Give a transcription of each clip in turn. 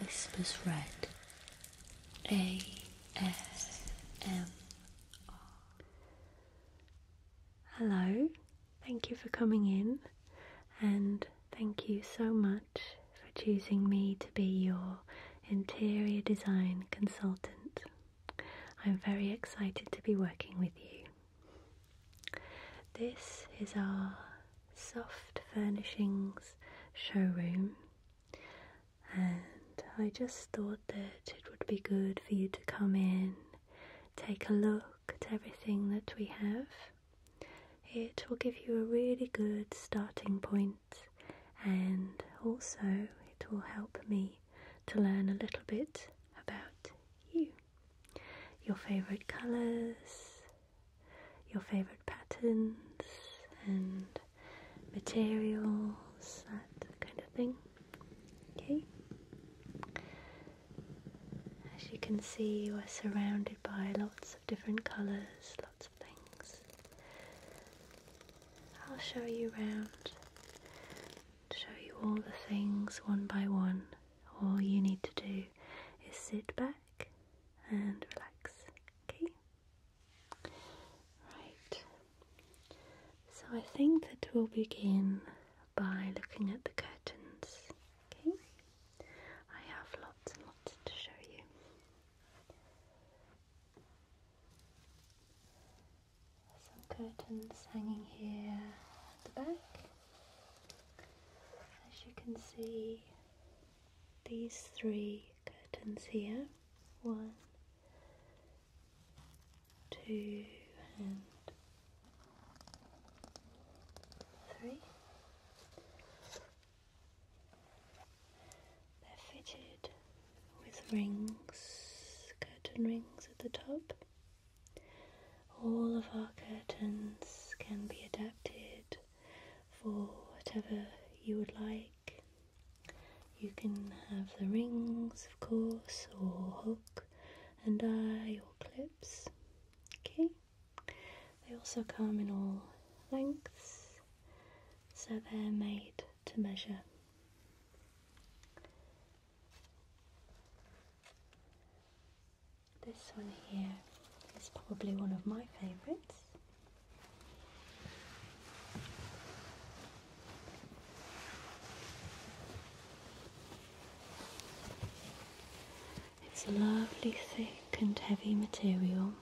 Whispers Red A S M R. Hello, thank you for coming in, and thank you so much for choosing me to be your interior design consultant. I'm very excited to be working with you. This is our soft furnishings showroom, and I just thought that it would be good for you to come in, take a look at everything that we have. It will give you a really good starting point, and also it will help me to learn a little bit about you. Your favourite colours, your favourite patterns and materials, that kind of thing. Okay? As you can see, we are surrounded by lots of different colours, lots of things. I'll show you around to show you all the things one by one. All you need to do is sit back and relax, okay? Right, so I think that we'll begin by looking at the curtains, okay? I have lots and lots to show you some curtains hanging here at the back. As you can see, these three curtains here one, two, and three. They're fitted with rings, curtain rings at the top. All of our curtains can be adapted for whatever you would like. You can have the rings, of course, or hook and eye or clips. Okay, they also come in all lengths, so they're made to measure. This one here is probably one of my favourites. It's a lovely thick and heavy material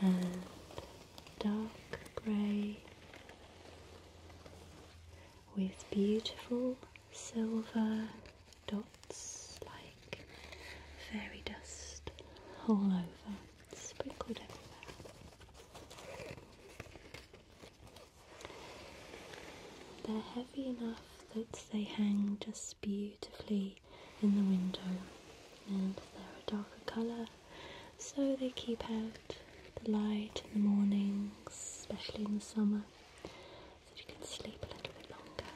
and dark grey with beautiful silver dots like fairy dust all over, sprinkled everywhere. They're heavy enough that they hang just beautifully in the window, and they're a darker colour so they keep out the light in the mornings, especially in the summer, so you can sleep a little bit longer.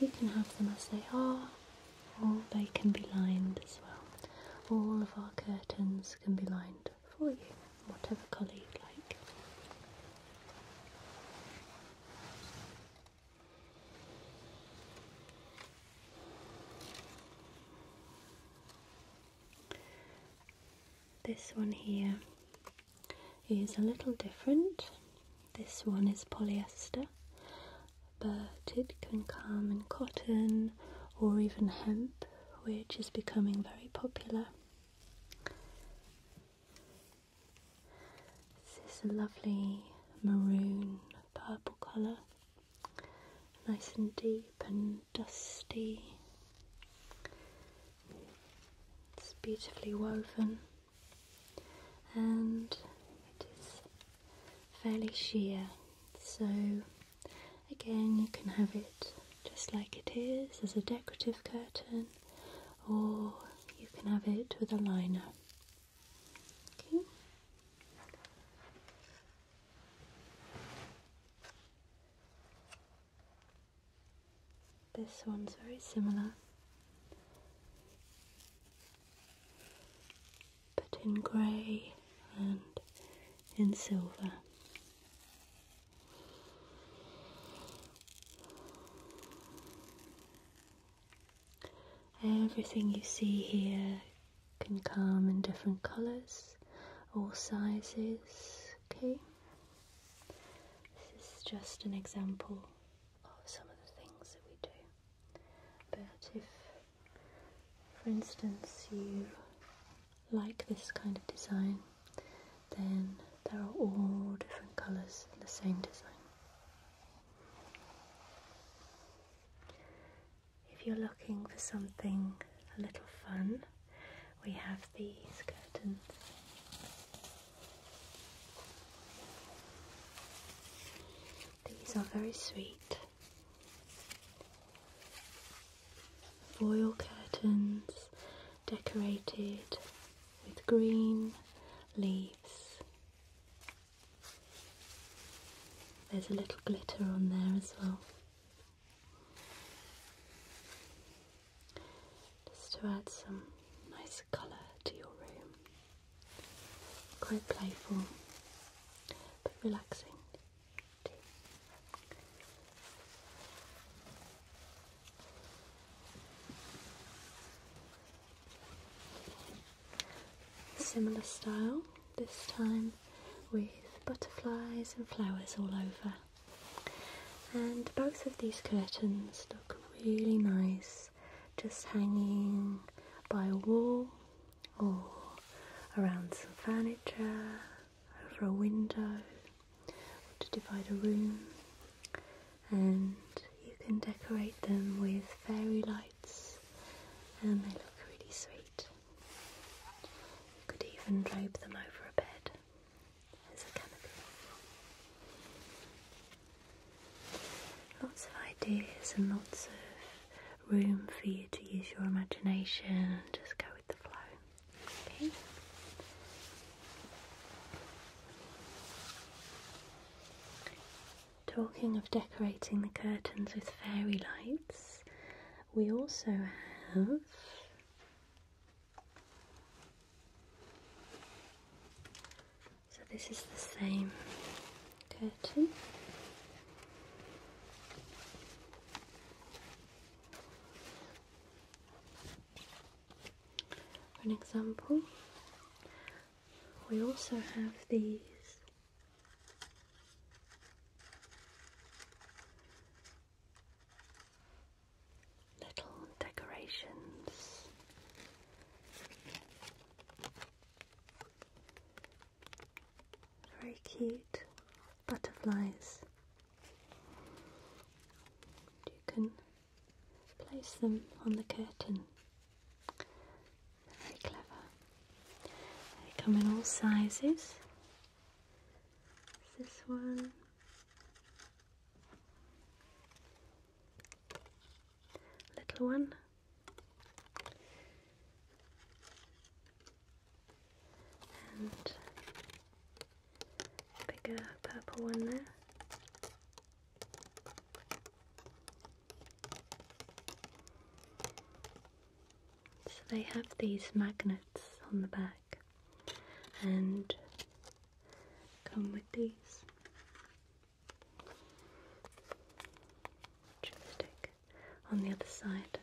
You can have them as they are, or they can be lined as well. All of our curtains can be lined for you, whatever colour you'd like. This one here is a little different. This one is polyester, but it can come in cotton or even hemp, which is becoming very popular. This is a lovely maroon purple colour, nice and deep and dusty. It's beautifully woven and it is fairly sheer. So, again, you can have it just like it is as a decorative curtain, or you can have it with a liner. Okay. This one's very similar, but in grey and in silver. Everything you see here can come in different colors, all sizes, okay? This is just an example of some of the things that we do. But if, for instance, you like this kind of design, then there are all different colours in the same design if you're looking for something a little fun, we have these curtains. These are very sweet. Foil curtains decorated with green leaves. There's a little glitter on there as well. Just to add some nice colour to your room. Quite playful but relaxing. Similar style this time with butterflies and flowers all over. And both of these curtains look really nice, just hanging by a wall or around some furniture, over a window, to divide a room. And you can decorate them with fairy lights, and they look really sweet. You could even drape them over a bed Lots of ideas and lots of room for you to use your imagination and just go with the flow. Okay? Talking of decorating the curtains with fairy lights, we also have so this is the same curtain for an example we also have these Little decorations. Very cute butterflies. You can place them on the curtain very clever. They come in all sizes. This one. Little one. And bigger purple one there. So they have these magnets on the back and come with these. Chopstick on the other side.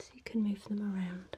So you can move them around.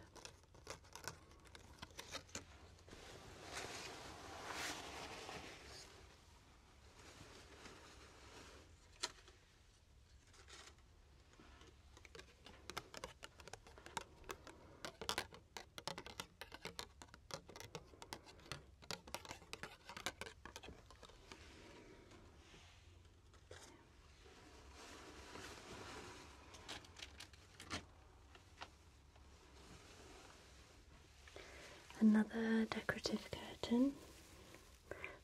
Another decorative curtain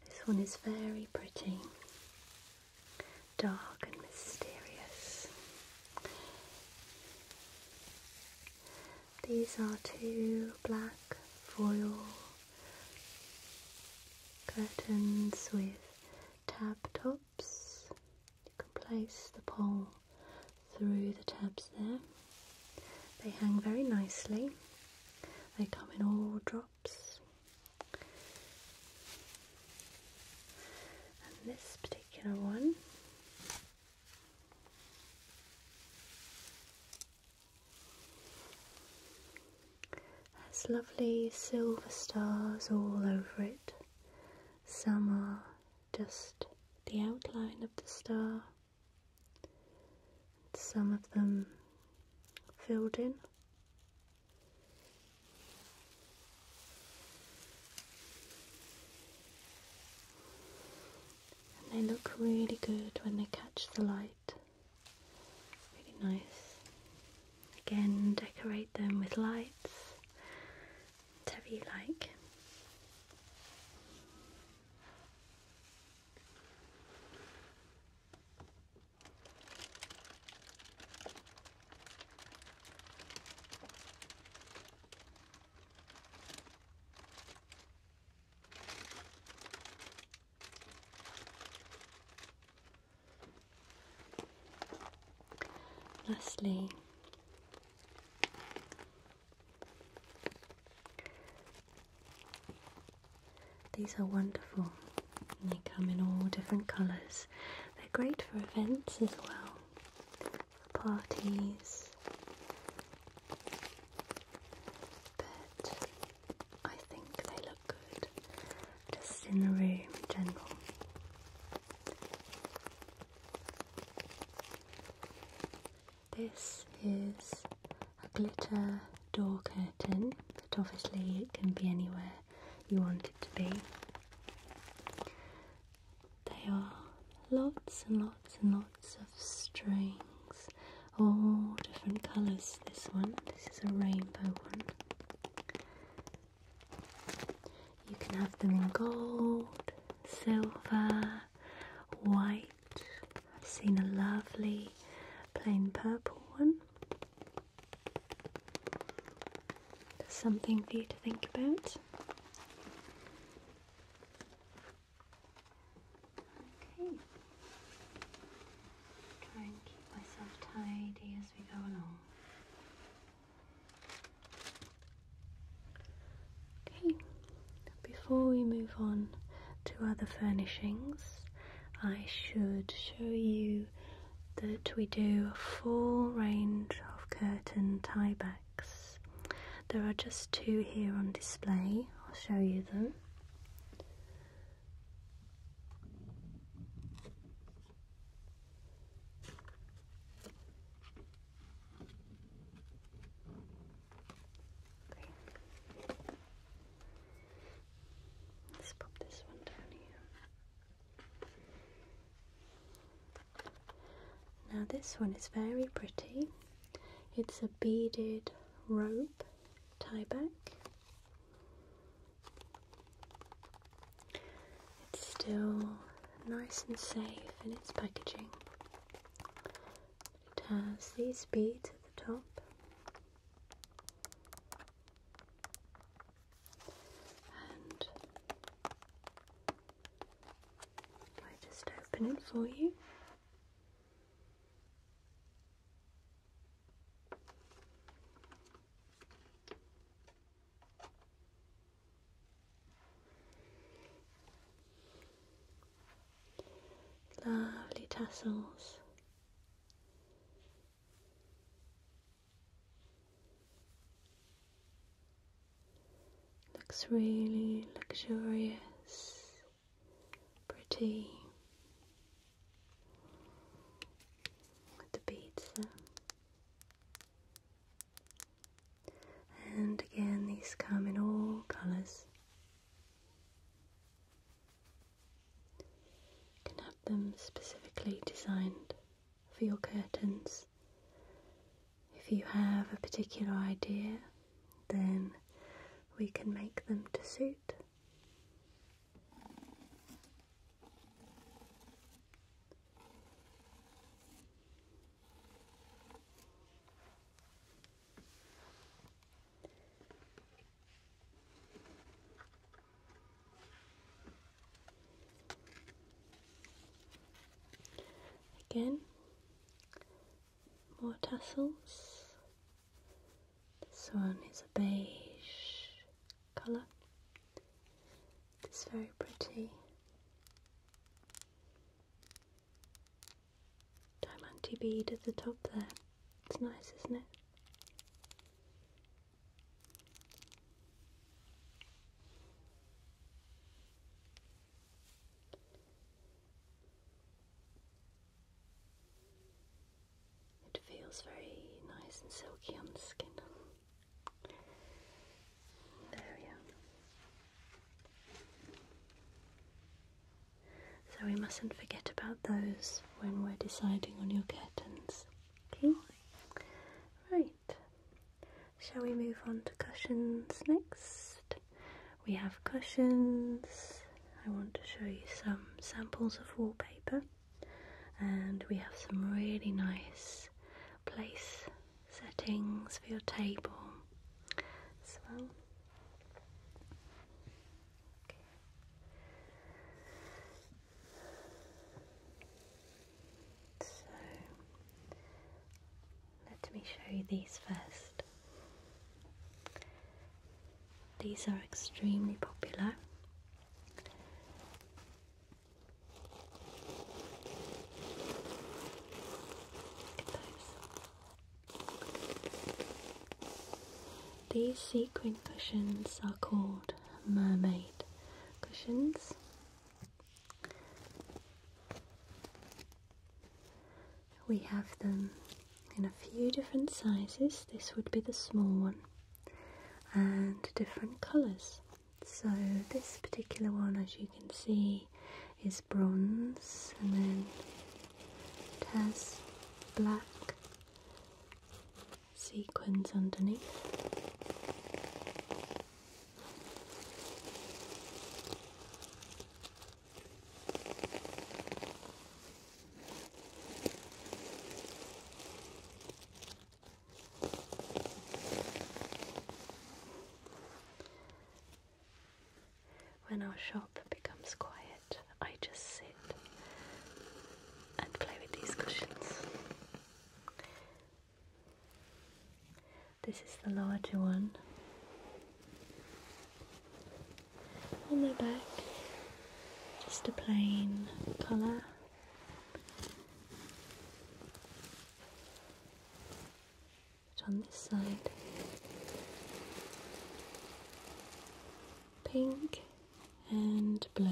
this one is very pretty, dark and mysterious. These are two black foil curtains with tab tops. You can place the pole through the tabs there. They hang very nicely they come in all drops. And this particular one has lovely silver stars all over it. Some are just the outline of the star, some of them filled in. And they look really good when they catch the light. Really nice. Again, decorate them with lights, whatever you like. Lastly, these are wonderful. And they come in all different colours. They're great for events as well. For parties. But I think they look good just in the room general. This is a glitter door curtain, but obviously it can be anywhere you want it to be. They are lots and lots and lots of strings, all different colours. This one, this is a rainbow one. You can have them in gold, silver, white, I've seen a lovely plain purple one. There's something for you to think about. Okay. Try and keep myself tidy as we go along. Okay before we move on to other furnishings, I should show you that we do a full range of curtain tiebacks. There are just two here on display, I'll show you them. Let's pop this one down here. Now, this one is very pretty. It's a beaded rope tie back. It's still nice and safe in its packaging. It has these beads at the top. And I just open it for you. Lovely tassels. Looks really luxurious, pretty. With the beads And again, these come in all colours. You can have them specifically designed for your curtains. If you have a particular idea, then we can make them to suit. Again, more tassels. This one is a beige colour. It's very pretty diamante bead at the top there. It's nice, isn't it? It feels very nice and silky on the skin. There we are. So we mustn't forget about those when we're deciding on your curtains. Okay? Right. Shall we move on to cushions next? We have cushions. I want to show you some samples of wallpaper. And we have some really nice place settings for your table as well. So let me show you these first. These are extremely popular. Look at those. These sequin cushions are called mermaid cushions. We have them in a few different sizes. This would be the small one and different colours. So this particular one as you can see is bronze and then it has black sequins underneath. When our shop becomes quiet, I just sit and play with these cushions. This is the larger one on my back, just a plain colour but on this side, pink and blue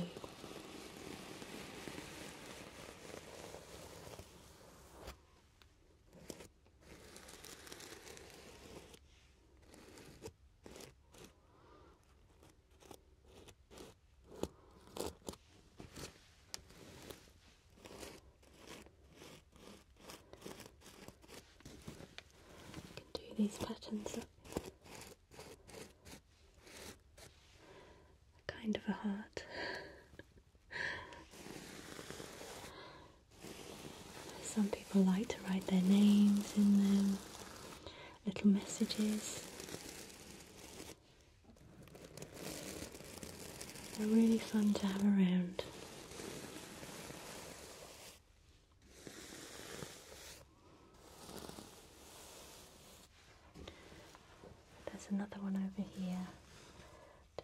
do these patterns that kind of a heart. Some people like to write their names in them, little messages. They're really fun to have around. There's another one over here,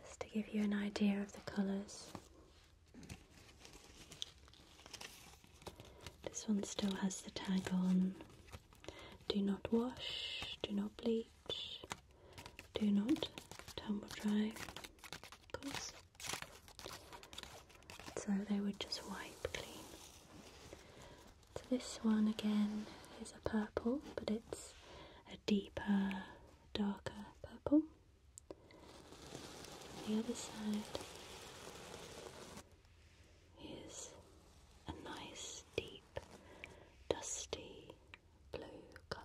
just to give you an idea of the colours. This one still has the tag on. Do not wash, do not bleach, do not tumble dry, so they would just wipe clean. So this one again is a purple, but it's a deeper, darker purple. The other side is a nice, deep, dusty blue colour.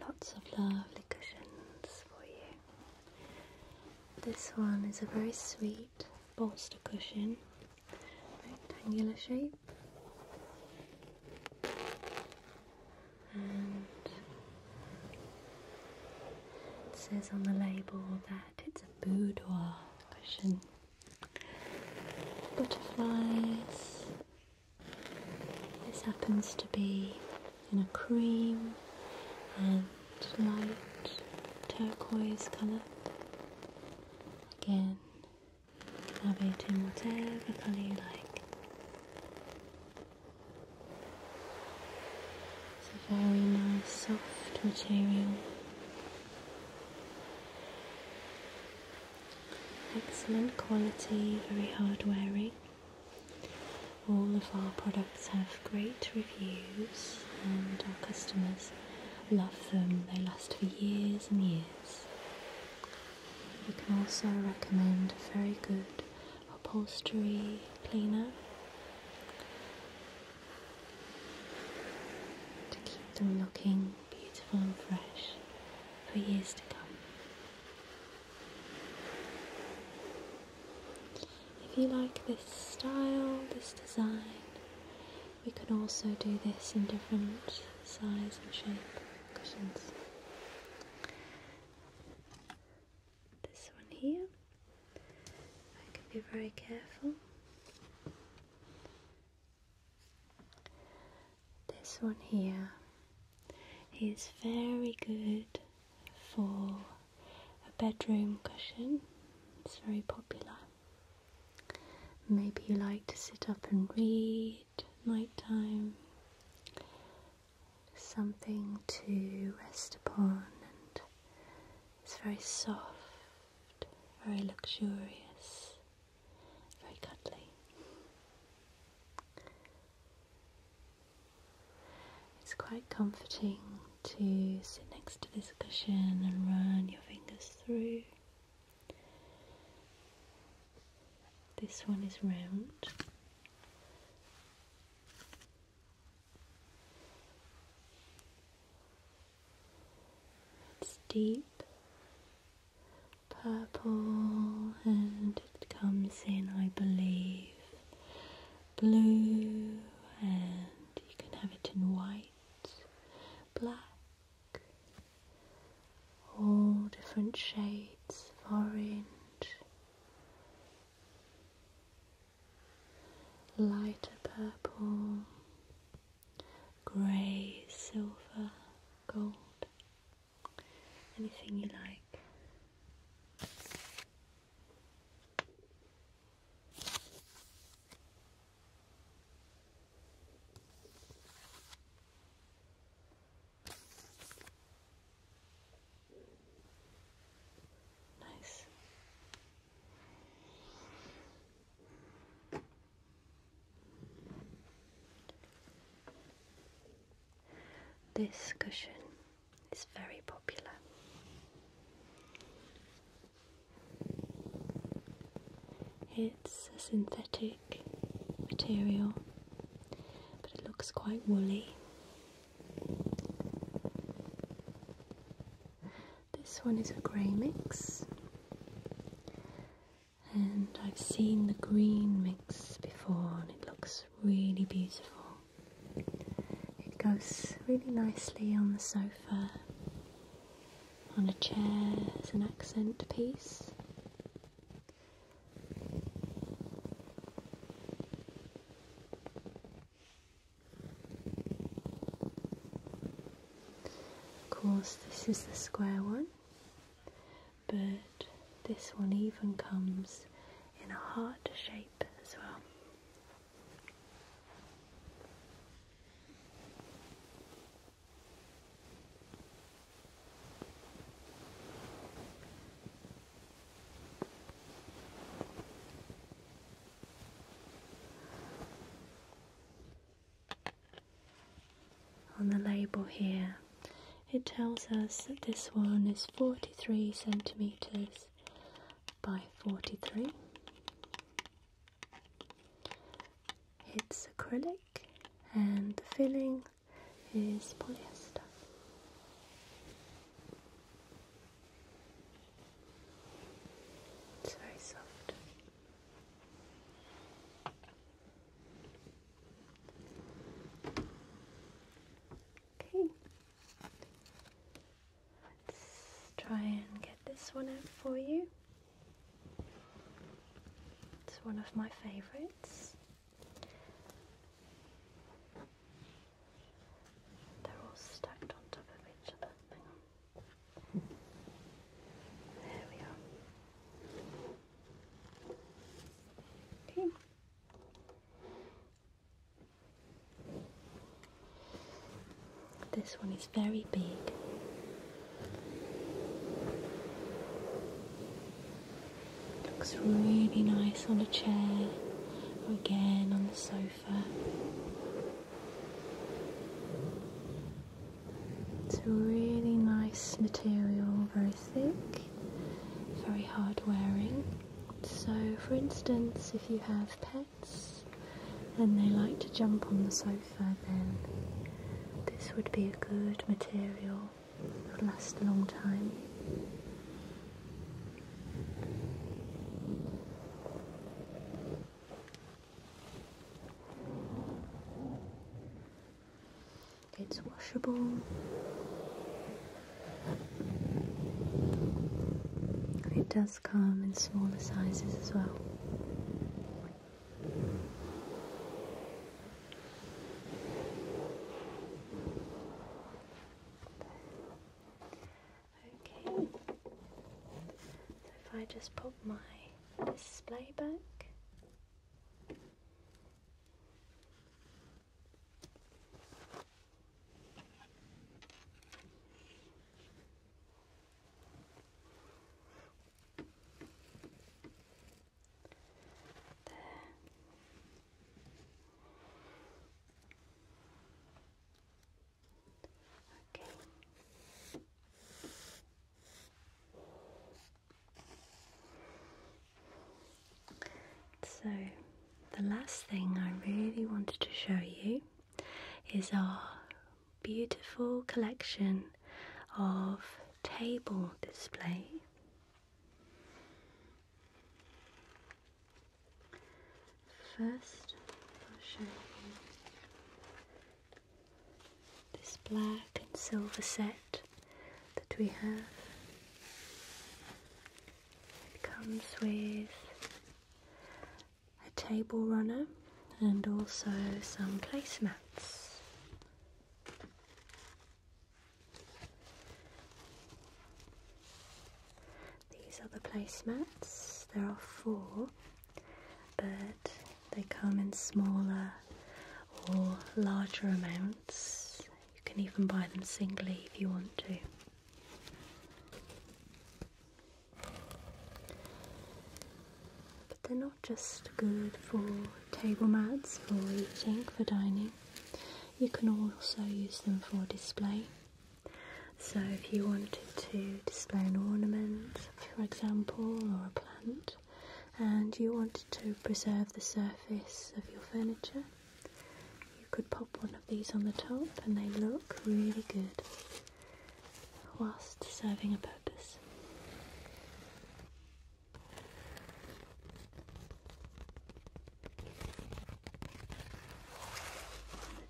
Lots of lovely cushions for you. This one is a very sweet bolster cushion, rectangular shape, it says on the label that it's a boudoir cushion. Butterflies. This happens to be in a cream and light turquoise colour. Again, have it in whatever colour you like. It's a very nice soft material. Excellent quality, very hard wearing. All of our products have great reviews and our customers love them. They last for years and years. We can also recommend very good upholstery cleaner to keep them looking beautiful and fresh for years to come. If you like this style, this design, we can also do this in different size and shape cushions this one here. I can be very careful. This one here is very good for a bedroom cushion. It's very popular. Maybe you like to sit up and read night time something to rest upon, and it's very soft, very luxurious, very cuddly. It's quite comforting to sit next to this cushion and run your fingers through. This one is round. It's deep purple and it comes in, I believe, blue and you can have it in white, black, all different shades of orange lighter purple, grey, silver, gold, anything you like. Nice. This cushion is very popular. It's a synthetic material, but it looks quite woolly. This one is a grey mix, and I've seen the green mix before, and it looks really beautiful. It goes really nicely on the sofa, on a chair as an accent piece. Of course, this is the square one, but this one even comes in a heart shape as well. On the label here, it tells us that this one is 43 centimetres by 43. It's acrylic and the filling is polyester. It's very soft. Okay. Let's try and get this one out for you. It's one of my favorites. They're all stacked on top of each other. Hang on. There we are. Okay. This one is very big. Looks really nice on a chair again on the sofa. It's a really nice material, very thick, very hard wearing. So, for instance, if you have pets and they like to jump on the sofa, then this would be a good material. it would last a long time. It's washable. It does come in smaller sizes as well. Okay, so if I just pop my display back. There. Okay. So, the last thing I really wanted to show you is our beautiful collection of table display First, I'll show you this black and silver set that we have. It comes with a table runner and also some placemats. These are the placemats. There are four, but they come in smaller or larger amounts. You can even buy them singly if you want to. But they're not just good for table mats, for eating, for dining. You can also use them for display. So if you wanted to display an ornament, for example, or a plant, and you wanted to preserve the surface of your furniture, you could pop one of these on the top and they look really good whilst serving a purpose.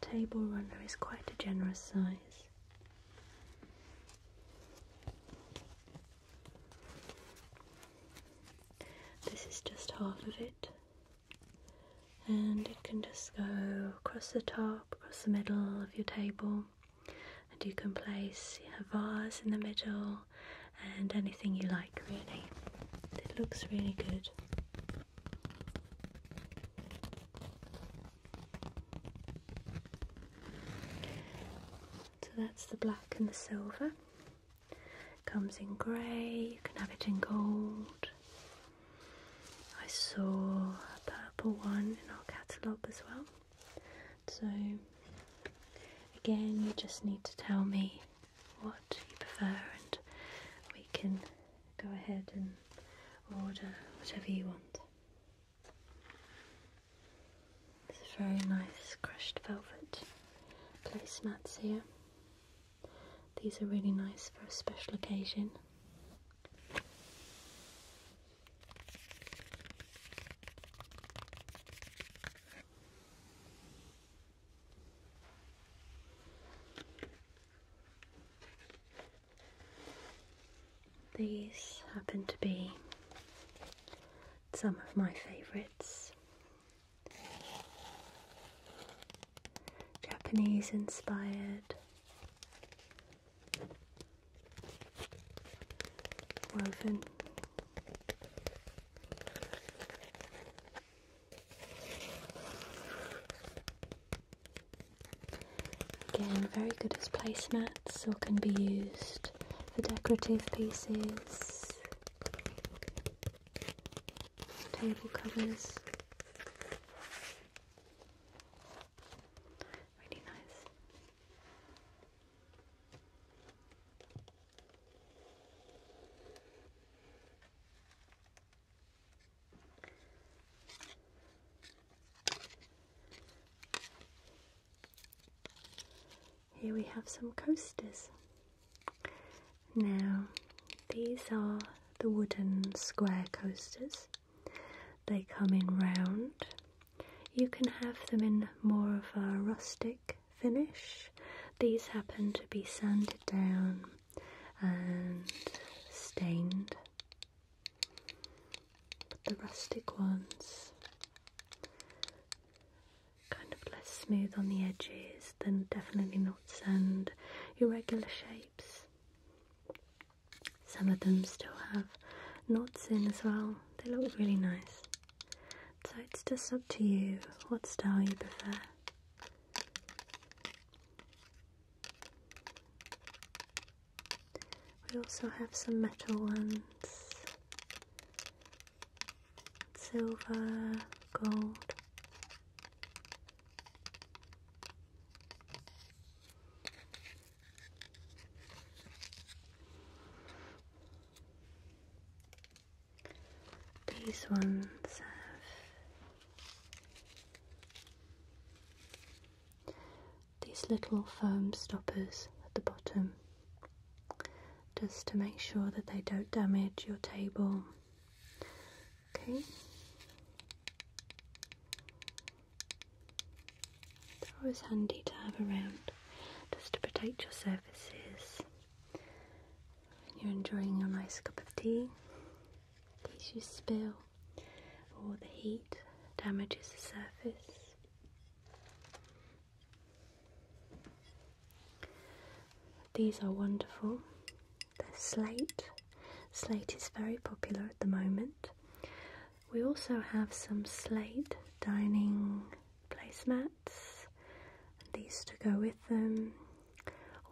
The table runner is quite a generous size. This is just half of it, and it can just go across the top, across the middle of your table, and you can place a vase in the middle and anything you like really. It looks really good. So that's the black and the silver. Comes in grey, you can have it in gold. I saw a purple one in our catalogue as well. So again, you just need to tell me what you prefer, and we can go ahead and order whatever you want. It's a very nice crushed velvet placemats here. These are really nice for a special occasion. These happen to be some of my favourites. Japanese inspired, woven Again, very good as placemats or can be used for decorative pieces, table covers. Really nice. Here we have some coasters. Now, these are the wooden square coasters. They come in round. You can have them in more of a rustic finish. These happen to be sanded down and stained, but the rustic ones kind of less smooth on the edges, then definitely not sand. Irregular shapes. Some of them still have knots in as well. They look really nice. So it's just up to you what style you prefer. We also have some metal ones silver, gold. These ones have these little foam stoppers at the bottom just to make sure that they don't damage your table. Okay. They're always handy to have around just to protect your surfaces. And you're enjoying your nice cup of tea. In you spill or the heat damages the surface. These are wonderful. They're slate. Slate is very popular at the moment. We also have some slate dining placemats and these to go with them.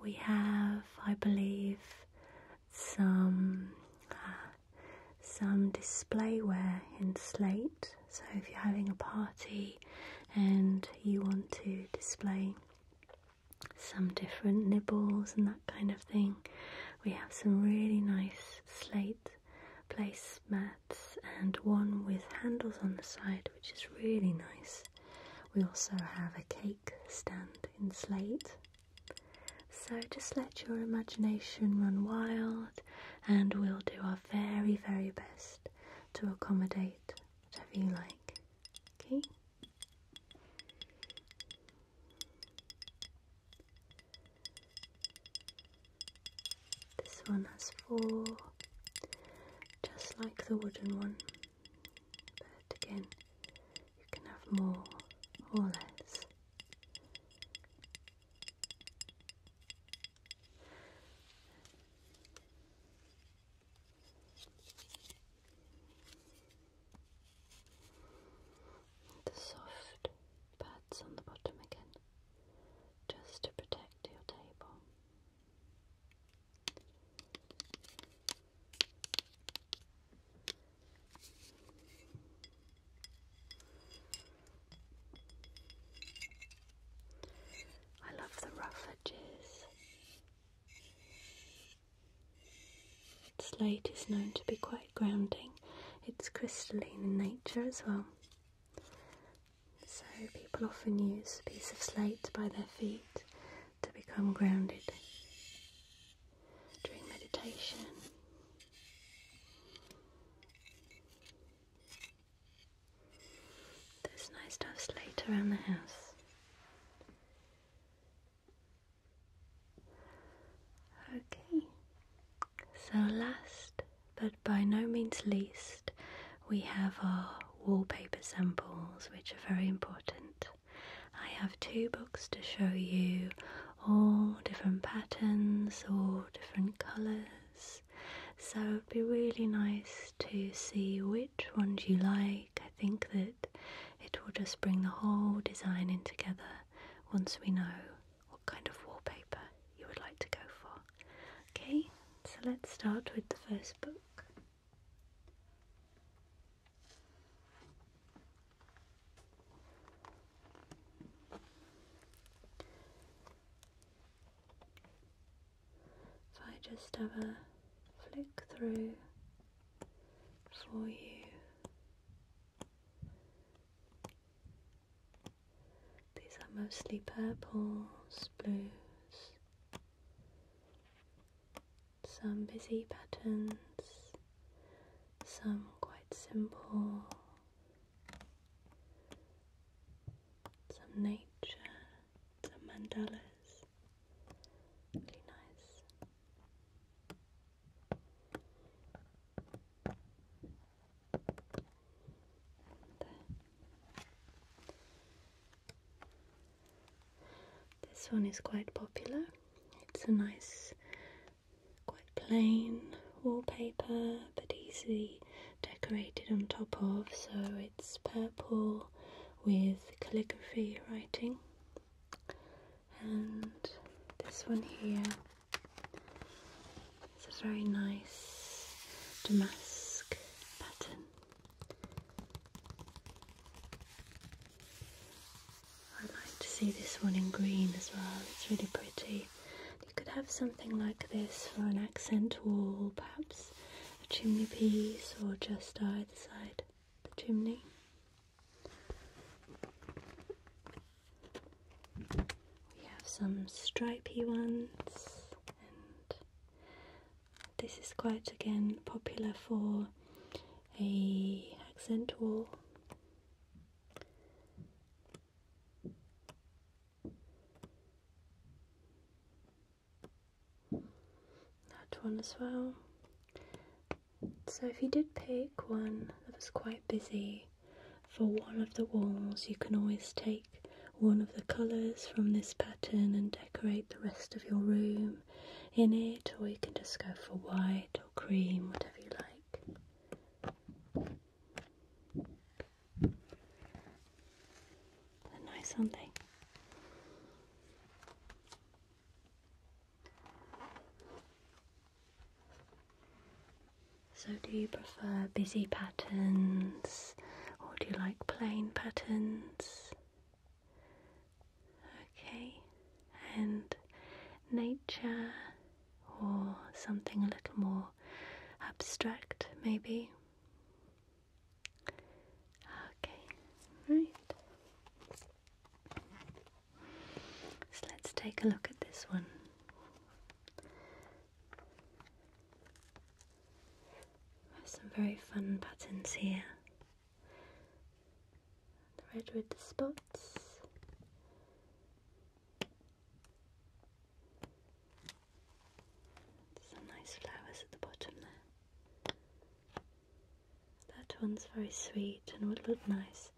We have, I believe, some uh, some displayware in slate. So if you're having a party and you want to display some different nibbles and that kind of thing, we have some really nice slate placemats and one with handles on the side, which is really nice. We also have a cake stand in slate. So just let your imagination run wild and we'll do our very, very best to accommodate whatever you like. Okay? This one has four, just like the wooden one, but again, you can have more or less. The soft pads on the bottom again, just to protect your table. I love the rough edges. Slate is known to be quite grounding. It's crystalline in nature as well. So people often use a piece of slate by their feet to become grounded during meditation. It's nice to slate around the house. Okay, so last but by no means least, we have our wallpaper samples, which are very important. I have two books to show you all different patterns, all different colours. So it'd be really nice to see which ones you like. I think that it will just bring the whole design in together once we know what kind of wallpaper you would like to go for. Okay, so let's start with the first book. If I just have a flick through for you, these are mostly purples, blues, some busy patterns, some quite simple, some nature, some mandalas. Really nice. This one is quite popular. It's a nice, quite plain wallpaper, but easily decorated on top of. So it's purple with calligraphy writing. And this one here it's a very nice damask pattern. I like to see this one in green as well, it's really pretty. You could have something like this for an accent wall, perhaps a chimney piece or just either side the chimney. We have some stripy ones this is quite again popular for a accent wall. That one as well. So if you did pick one that was quite busy for one of the walls, you can always take one of the colours from this pattern and decorate the rest of your room in it, or you can just go for white or cream, whatever you like. They're nice, aren't they nice are so, do you prefer busy patterns or do you like plain patterns? Okay, and nature or something a little more abstract, maybe? Okay, right. So, let's take a look at this one. There's some very fun patterns here. The red with the spots. Some nice flowers at the bottom there. That one's very sweet and would look nice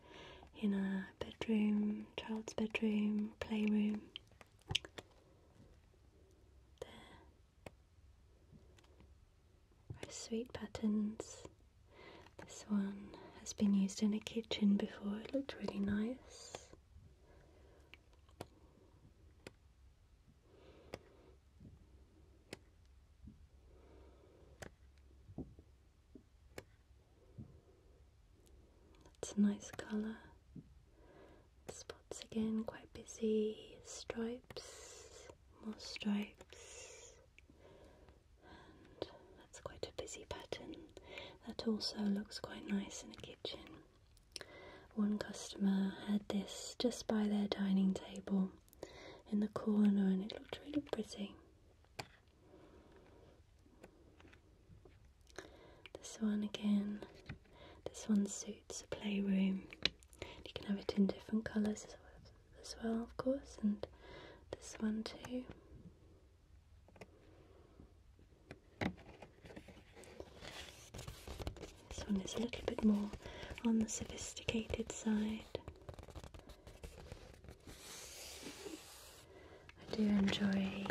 in a bedroom, child's bedroom, playroom sweet patterns. This one has been used in a kitchen before, it looked really nice. That's a nice colour. Spots again, quite busy. Stripes, more stripes. And that's quite a busy pattern. That also looks quite nice in the kitchen. One customer had this just by their dining table in the corner and it looked really pretty. This one again. This one suits a playroom. You can have it in different colours as well, of course, and this one too. This one is a little bit more on the sophisticated side. I do enjoy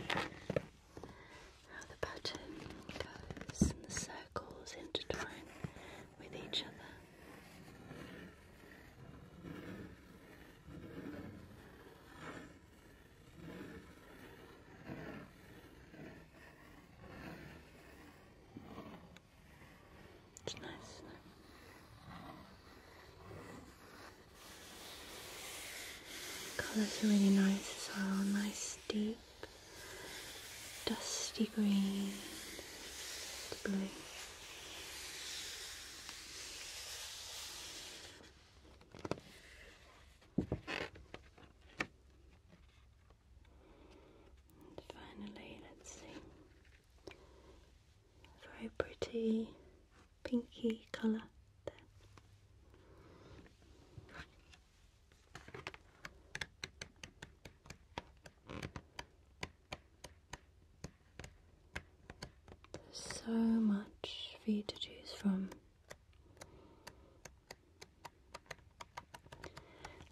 how the pattern goes and the circles intertwine with each other. It's nice, Colors are really nice as well. Nice deep dusty green to blue. And finally, let's see, very pretty pinky colour so much for you to choose from.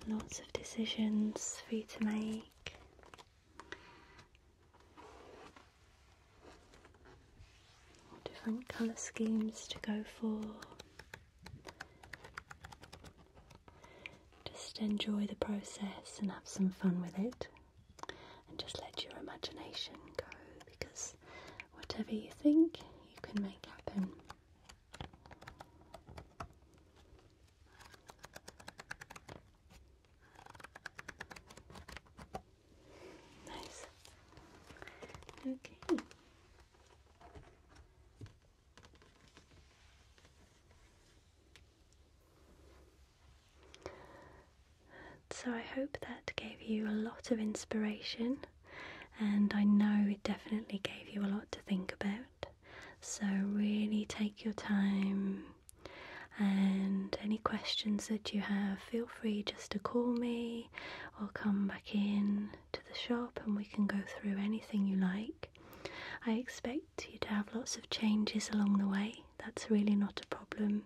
Lots of decisions for you to make different colour schemes to go for. Just enjoy the process and have some fun with it. And just let your imagination go because whatever you think, you can make happen. Nice. Okay. So, I hope that gave you a lot of inspiration, and I know it definitely gave you a lot to think about. So, really take your time, and any questions that you have, feel free just to call me away or come back in to the shop and we can go through anything you like. I expect you to have lots of changes along the way, that's really not a problem.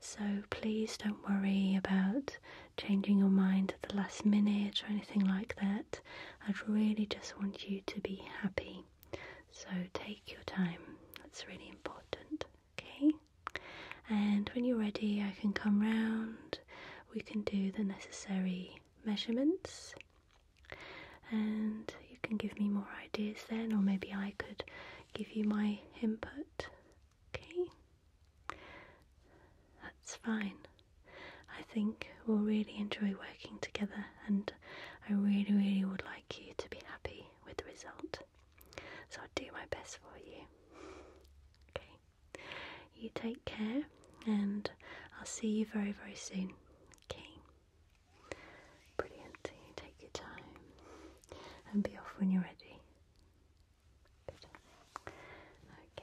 So please don't worry about changing your mind at the last minute or anything like that. I'd really just want you to be happy. So take your time, that's really important okay? And when you're ready, I can come round, we can do the necessary measurements, and you can give me more ideas then, or maybe I could give you my input, okay? That's fine. I think we'll really enjoy working together, and I really, really would like you to be happy with the result. So I'll do my best for you. okay. You take care and I'll see you very, very soon. Okay. Brilliant. take your time and be off when you're ready. Okay.